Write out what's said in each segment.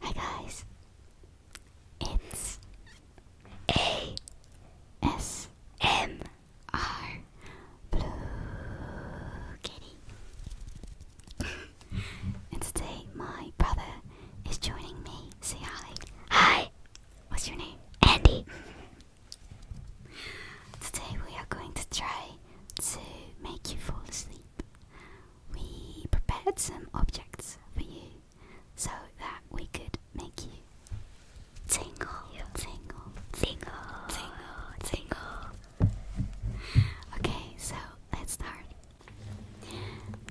Hi guys, it's A S M R Blue Kitty, and today my brother is joining me. Say hi. Hi. What's your name? Andy. Today we are going to try to make you fall asleep sleep, we prepared some objects for you so that we could make you tingle, tingle, tingle, tingle, tingle. Okay, so let's start.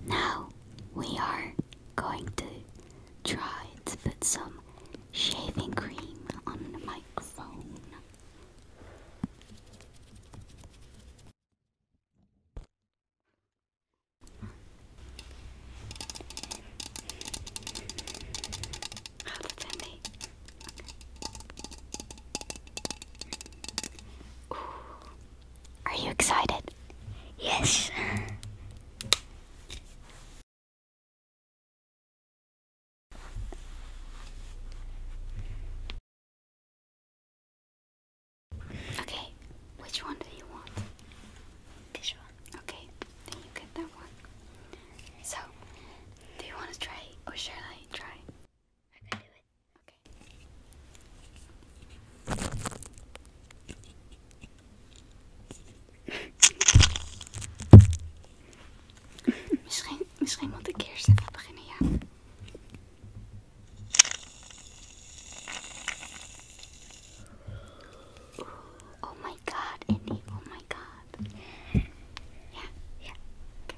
Now we are going to try to put some shaving cream on the microphone. Are you excited? Yes. Okay, which one do you want? This one. Okay, then you get that one. So, do you want to try or shall I try? I Okay. misschien, misschien moet ik eerst even beginnen, ja. Oh my god, Andy, oh my god. Yeah, yeah. Okay.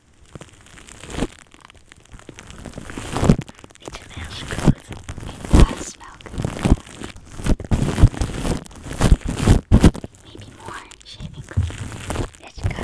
It's a good. It does smell good. Maybe more shaving cream. Let's go.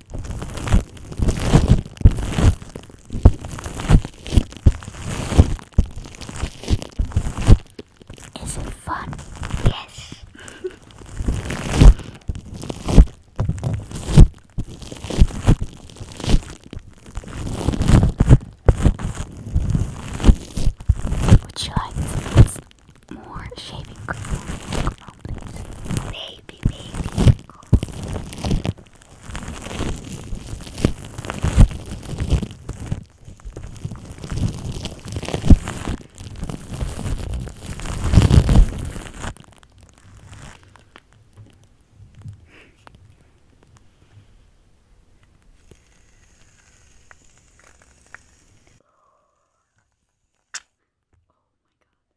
Is fun? Yes. Would you like more shaving cream? please. Baby, baby. Oh my god.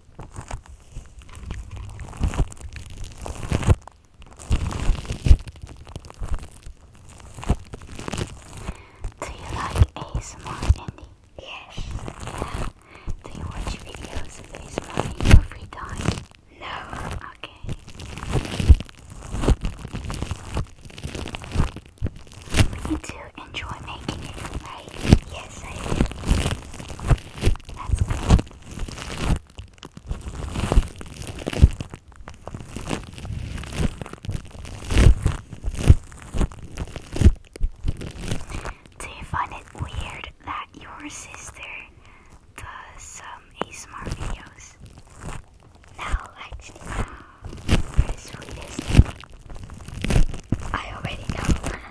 Do you like ASMR, Andy? Yes. Yeah. Do you watch videos ASMR in your free time? No. Okay. Me too. I do. That's good. you find it weird that your sister does ASMR videos? No, actually, I already know.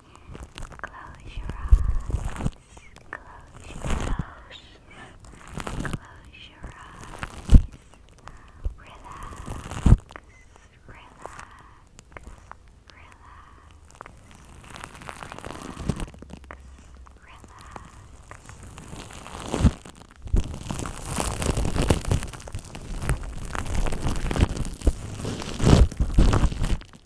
Close your eyes. Close your eyes. Close your eyes. Relax. Relax. Relax. Relax. Relax. You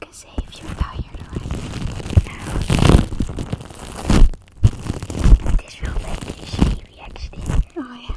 can say if you're tired already. Now, this will make you shave actually. Oh yeah.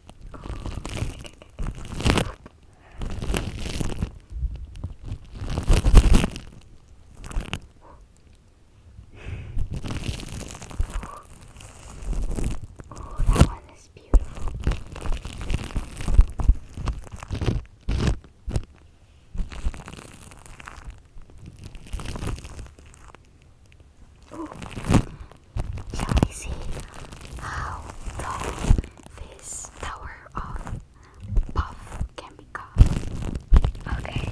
Oh, that one is beautiful. Ooh. Shall see how tall this tower of puff can become? Okay.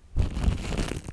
It's very beautiful.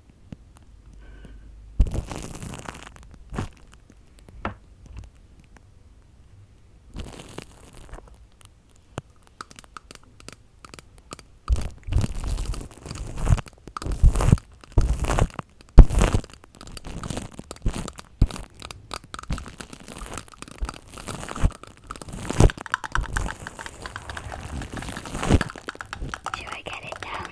Do I get it down?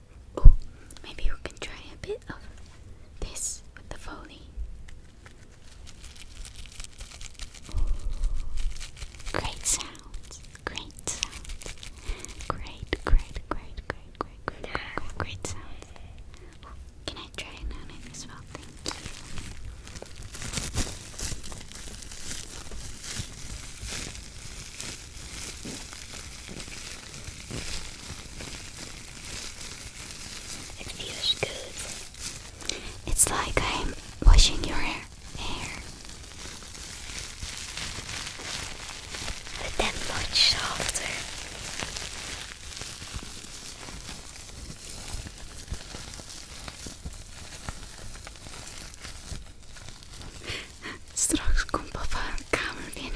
Oh, maybe we can try a bit of this with the foley. great sounds, great sounds, great, great, great, great, great, great, sounds. can I try it as well? Thank you. It feels good. It's like I'm washing your hair. But that much softer. Straks komt papa de kamer binnen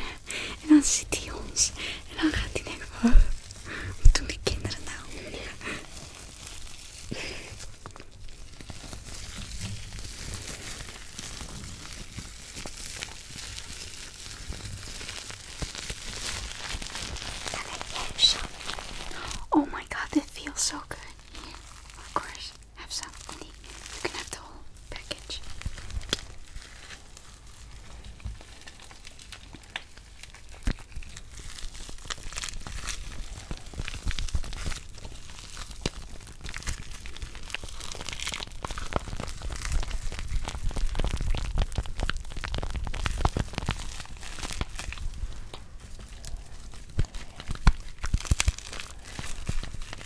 en dan zit hij ons. En dan gaat hij denken wat doen die kinderen nou? Oh my god, it feels so good. of course. have some only you can have the whole package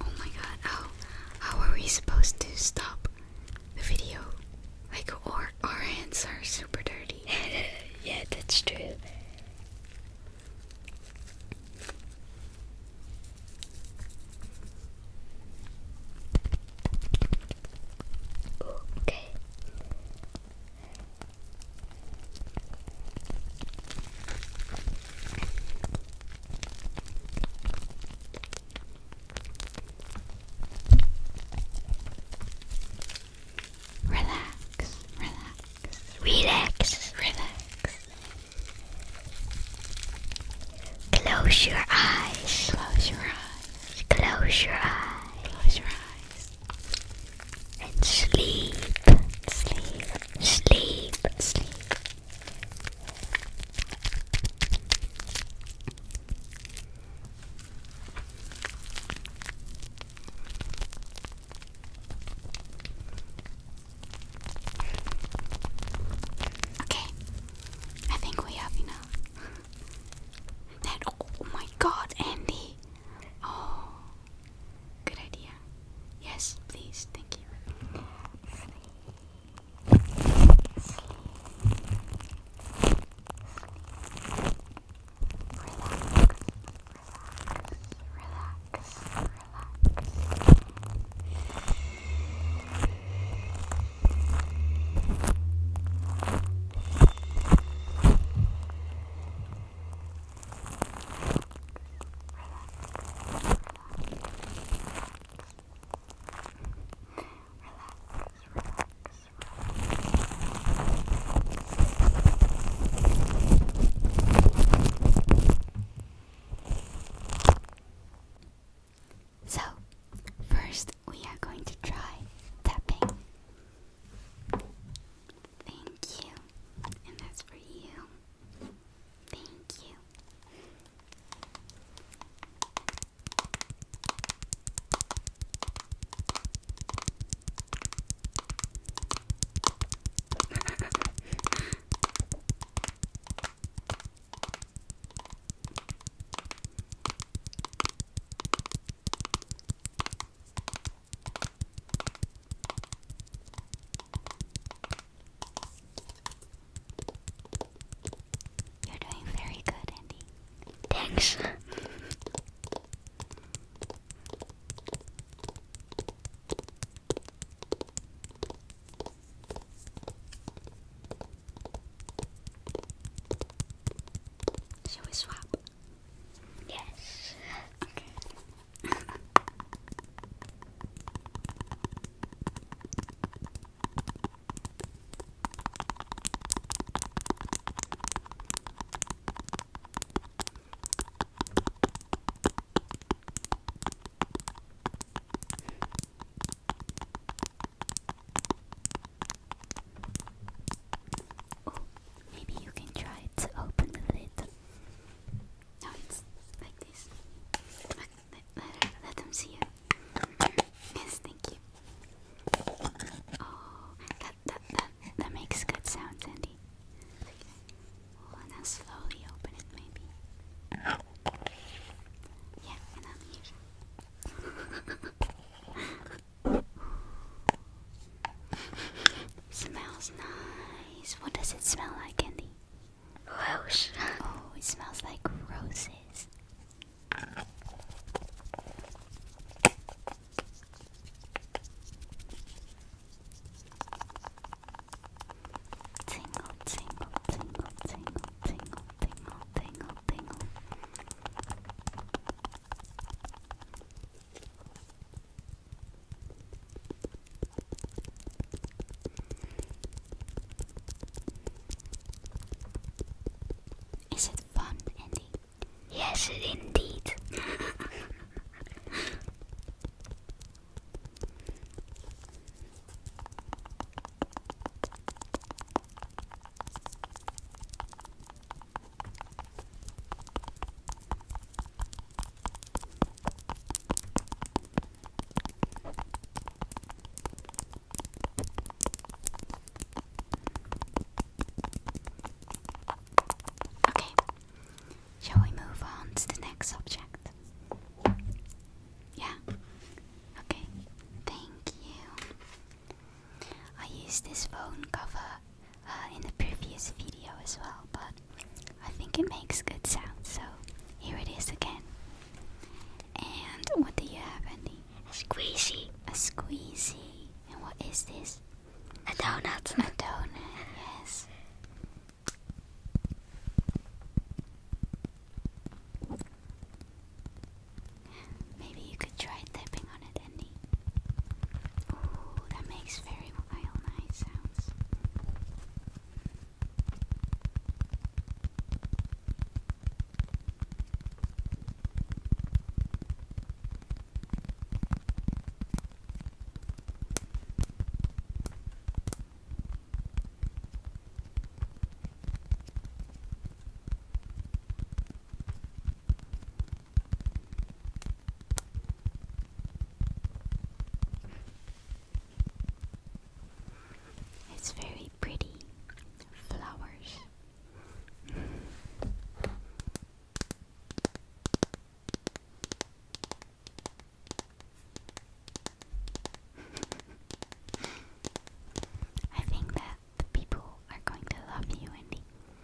Oh my god, how how are we supposed to stop the video? Like or our hands are super dirty. yeah, that's true. Okay. Relax, relax, relax, relax. Close your eyes. Close your eyes. Close your eyes. Close your eyes and sleep, sleep, sleep, sleep. Okay, I think we have enough. That oh my god, Andy! Oh, Good idea. Yes, please. Thank you. Sleep. Sleep. Sleep. Relax, relax, relax, relax. So, first we are going to try tapping. Thank you. And that's for you. Thank you. You're doing very good, Andy. Thanks. Shall we swap? Yes. Okay. oh, maybe you can try to open the lid. No, it's like this. let, them see you. Yes, thank you. Oh, that, that, that, that makes good sounds, Andy. Okay. and now slowly open it, maybe. Yeah, and I'm here. Smells nice. What does it smell like, Candy? Rose. Oh, it smells like roses. Tingle, tingle, tingle, tingle, tingle, tingle, tingle, tingle. Is it fun, Andy? Yes, indeed. Okay, shall we move on to the next subject? Yeah, okay, thank you. I used this phone cover uh, in the previous video as well, but I think it makes good sound, so here it is again. And what do you have, Andy? A squeezy. A squeezy. And what is this? A donut. A donut, yes. Maybe you could try tapping on it, Bendy. Oh, that makes very wild night sounds. It's very pretty flowers. I think that the people are going to love you, Andy.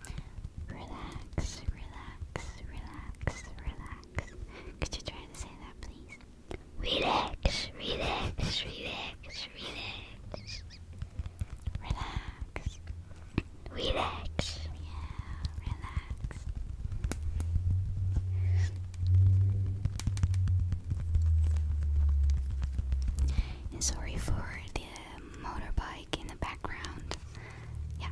Relax, relax, relax, relax. Could you try to say that, please? Relax, relax, relax, relax. Relax. Relax. Yeah, relax. sorry for the motorbike in the background. Yeah.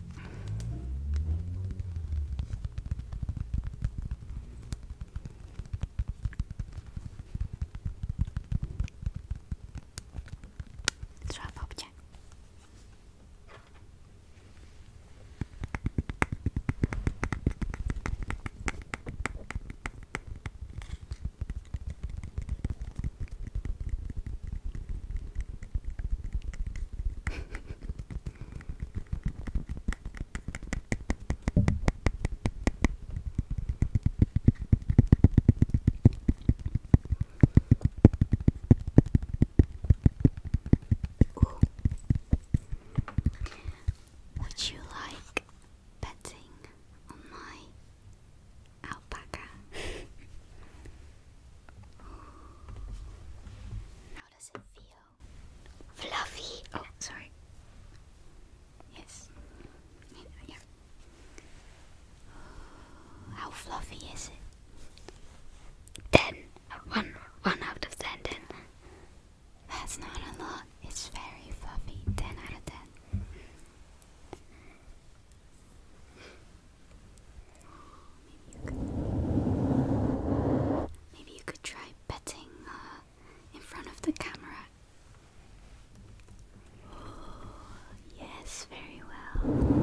Drop object. Ooh. Would you like betting on my Alpaca. How does it feel? Fluffy. Oh, sorry. Yes. Yeah. How fluffy is it? Ten. One. One out of ten. That's not a lot. It's very fluffy. Ten out of ten. Maybe you could, try betting uh, in front of the camera. Oh, yes, very well.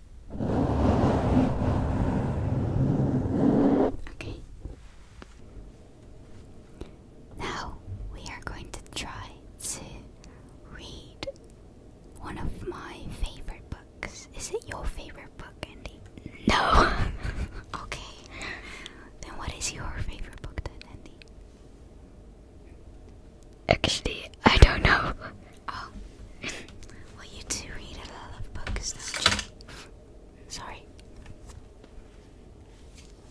Okay. Now we are going to try to read one of my favorite books. Is it your favorite book, Andy? No! okay. Then what is your favorite book then, Andy? Actually, I don't know. Oh. Well, you do read a lot of books, Sorry.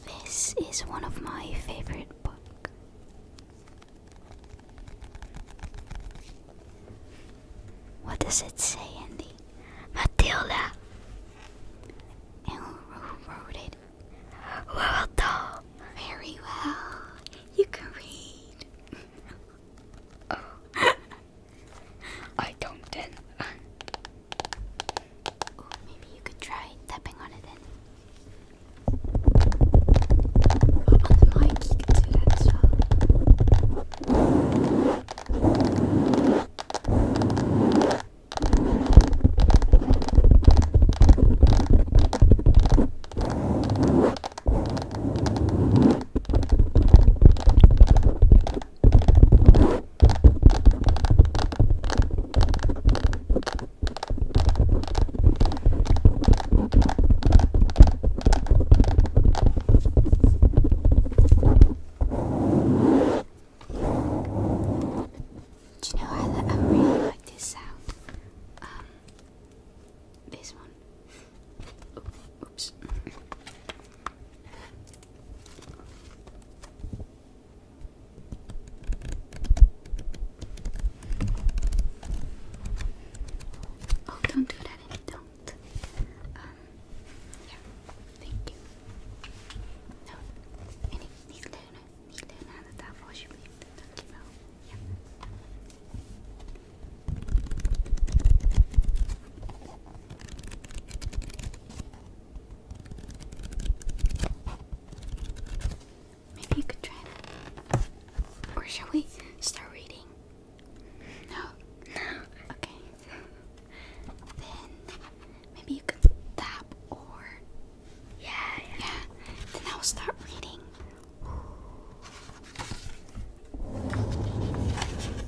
This is one of my favorite books. What does it say, Andy? Matilda. who wrote it? Well done. Very well. You can read. oh. I don't then. maybe you could try tapping on it then. on oh, the mic, you can do that as well. Do you know I, I really like this sound? Um, this one. Oh, oops. Oh, don't do that. Don't. Um, yeah. Thank you. No. Any, Maybe you could try that, Or shall we start reading? No. No. Okay. Then maybe you could tap or yeah, yeah. Then I'll start reading.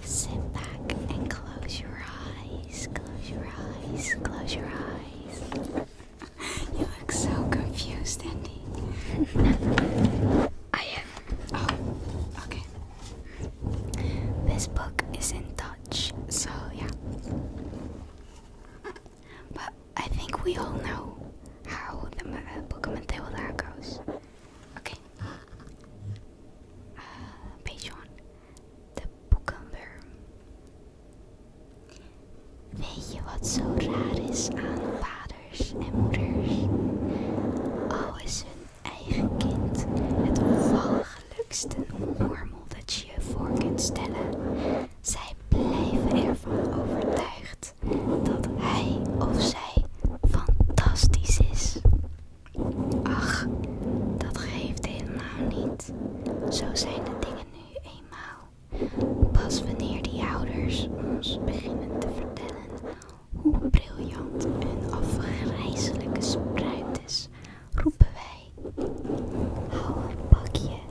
Sit back and close your eyes. Close your eyes. Close your eyes. you look so confused, Andy. I am. Oh, okay. This book is in Dutch, so yeah. But I think we all know how the uh, Pokemon Table goes. Okay. Uh, page one. The cucumber. Weet je wat zo raar is aan vaders en moeders? Al is hun eigen kind het ongelukkigste mormel dat je je voor kunt stellen, Zij blijven ervan overtuigd dat hij of zij fantastisch is. Ach, dat geeft helemaal niet. Zo zijn de dingen nu eenmaal. Pas wanneer die ouders ons beginnen te vertellen hoe briljant hun afgrijzelijke spruit is, roepen wij: Hou een pakje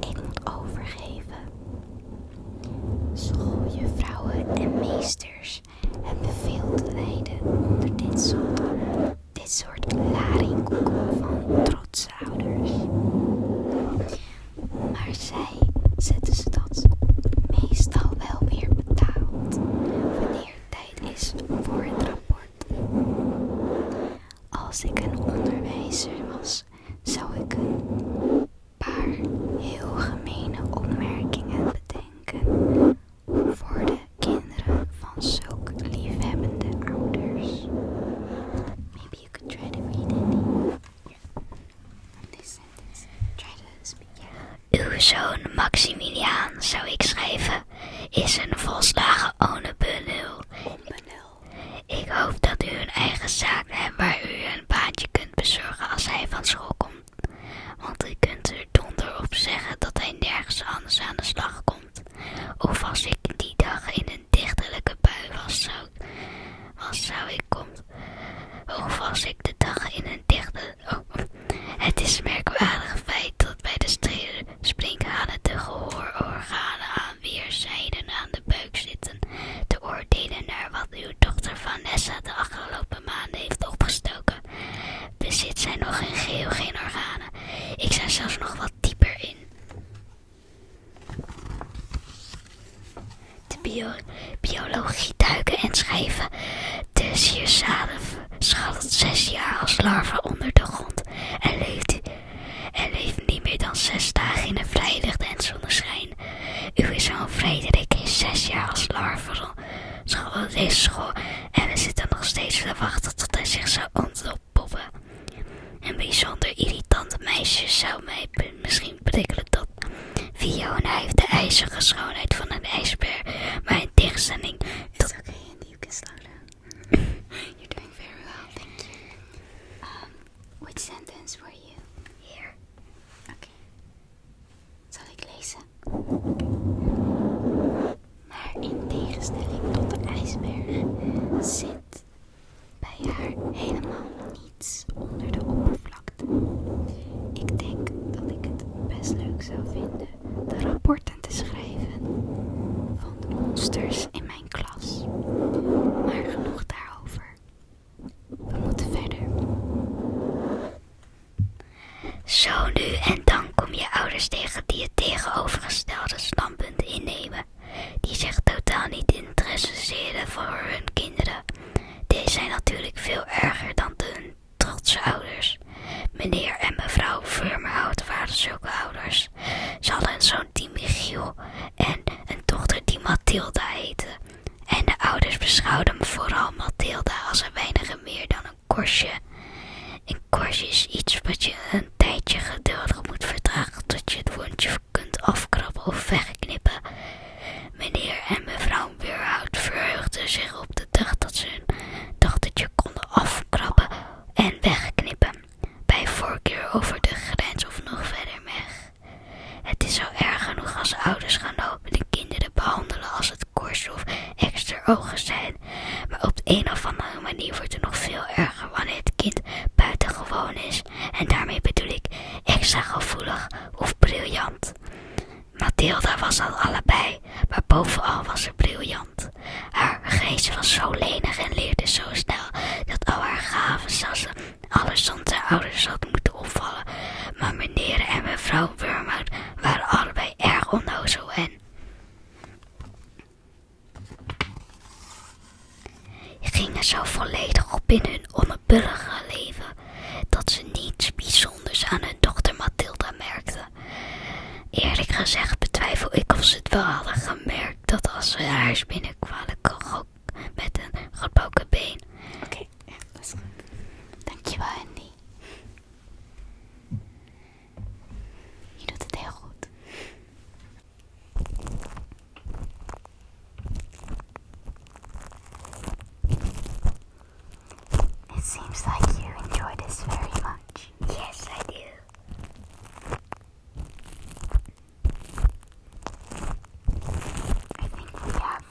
ik moet overgeven. Schooljuffrouwen en meesters hebben veel te lijden onder dit soort, dit soort laringkoeken van trotse ouders. Maar zij zetten ze dat meestal wel weer betaald wanneer tijd is voor het rapport. Als ik een onderwijzer was, zou ik een paar heel gemene opmerkingen bedenken voor de kinderen van zulke liefhebbende ouders. Maybe you could try to read it. This sentence. Try to speak. Yeah. Uw zoon Maximiliaan, zou ik schrijven, is een volslagen onbenul. Onbenul. Ik hoop dat u een eigen zaak hebt waar u een baantje kunt bezorgen als hij van school komt. Want u kunt er donder op zeggen dat hij nergens anders aan de slag komt. Of als ik die dag in een dichterlijke bui was, zou, was, zou ik komt. Of als ik de dag in een dichte. Oh, het is merkwaardig feit dat bij de sprinkhanen de gehoororganen Weerzijden aan de buik zitten, te oordelen naar wat uw dochter Vanessa de afgelopen maanden heeft opgestoken. Bezit zij nog geen geel, geen organen. Ik zou zelfs nog wat dieper in. De biologie duiken en schrijven. je sierzaden schat zes jaar als larve onder de grond en leeft en leeft niet meer dan zes dagen in een vrijlucht en zonneschijn. is zoon Frederik is zes jaar als larve school deze school en we zitten nog steeds te wachten tot hij zich zou ontpoppen. Een bijzonder irritante meisje zou mij misschien prikkelen tot Fiona heeft de ijzige schoonheid van een ijsbeer, maar in tegenstelling tot... It's okay, Andy, Which sentence were you? Here. Oké. Zal ik lezen? Maar in tegenstelling tot de ijsberg zit bij haar helemaal niets onder de oppervlakte. Ik denk dat ik het best leuk zou vinden de rapporten te schrijven van de monsters in mijn klas. Maar genoeg daarover. We moeten verder. Zo nu en dan kom je ouders tegen die het tegenovergestelde standpunt innemen. Die zich totaal niet interesseren voor hun kinderen. Deze zijn natuurlijk veel erger dan hun trotse ouders. Meneer en mevrouw Vermhout waren zulke ouders. Ze hadden een zoon die Michiel en een dochter die Mathilda heette. En de ouders beschouwden vooral Mathilda als een weinig meer dan een korstje. Een korstje is iets wat je een tijdje geduldig moet verdragen tot je het wondje kunt afkrabben of wegknippen. Meneer en mevrouw weerhoud verheugden zich op de dag dat ze hun dochtertje konden afkrabben en wegknippen bij voorkeur over de grens of nog verder weg. Het is zo erg genoeg als ouders gaan lopen de kinderen behandelen als het korst of extra ogen zijn. Maar op de een of andere manier wordt het nog veel erger wanneer het kind buitengewoon is. En daarmee bedoel ik extra gevoelig of briljant. Mathilda was al allebei, maar bovenal was ze briljant. Haar geest was zo lenig en leerde zo snel dat al haar gaven zassen alles zonder zijn ouders hadden moeten opvallen. Maar meneer en mevrouw Wormhout waren allebei erg onnozel en gingen zo volledig op in hun onbullige leven dat ze niets bijzonders aan hun dochter Mathilda merkte. Eerlijk gezegd betwijfel ik of ze het wel hadden gemerkt dat als we haar binnenkwamen, ook met een gebroken been. Oké, dat is goed. Dankjewel, Andy. Je doet het heel goed. It seems like you enjoy this very much. Yes, I do. I think we have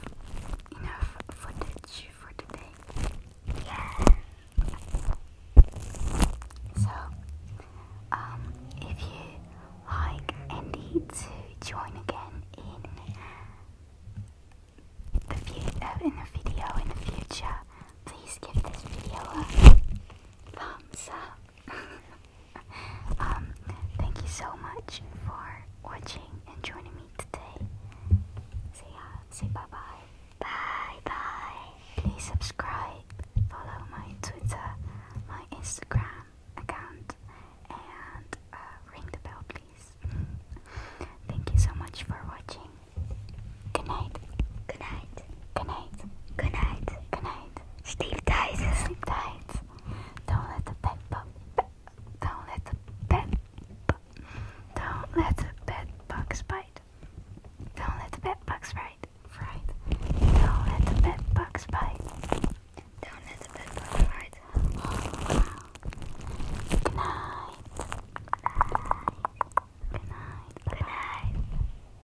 enough footage for today. Yeah. So, um, if you like and to join again in the view, uh, in a video in the future, please give this video a thumbs up um, thank you so much for watching and joining me today. Say yeah, uh, say bye bye. Bye bye. Please subscribe, follow my Twitter, my Instagram account, and uh, ring the bell, please. Thank you so much for watching. Good night. Good night. Good night. Good night. Good night tight. Sleep tight. Sleep Don't let the bed Don't let the bed. Don't let the bed bugs bite. Don't let the bed bugs bite. Don't let the bed bugs bite. Don't let the bed bugs bite. Good night. Good night. Good night. Good night.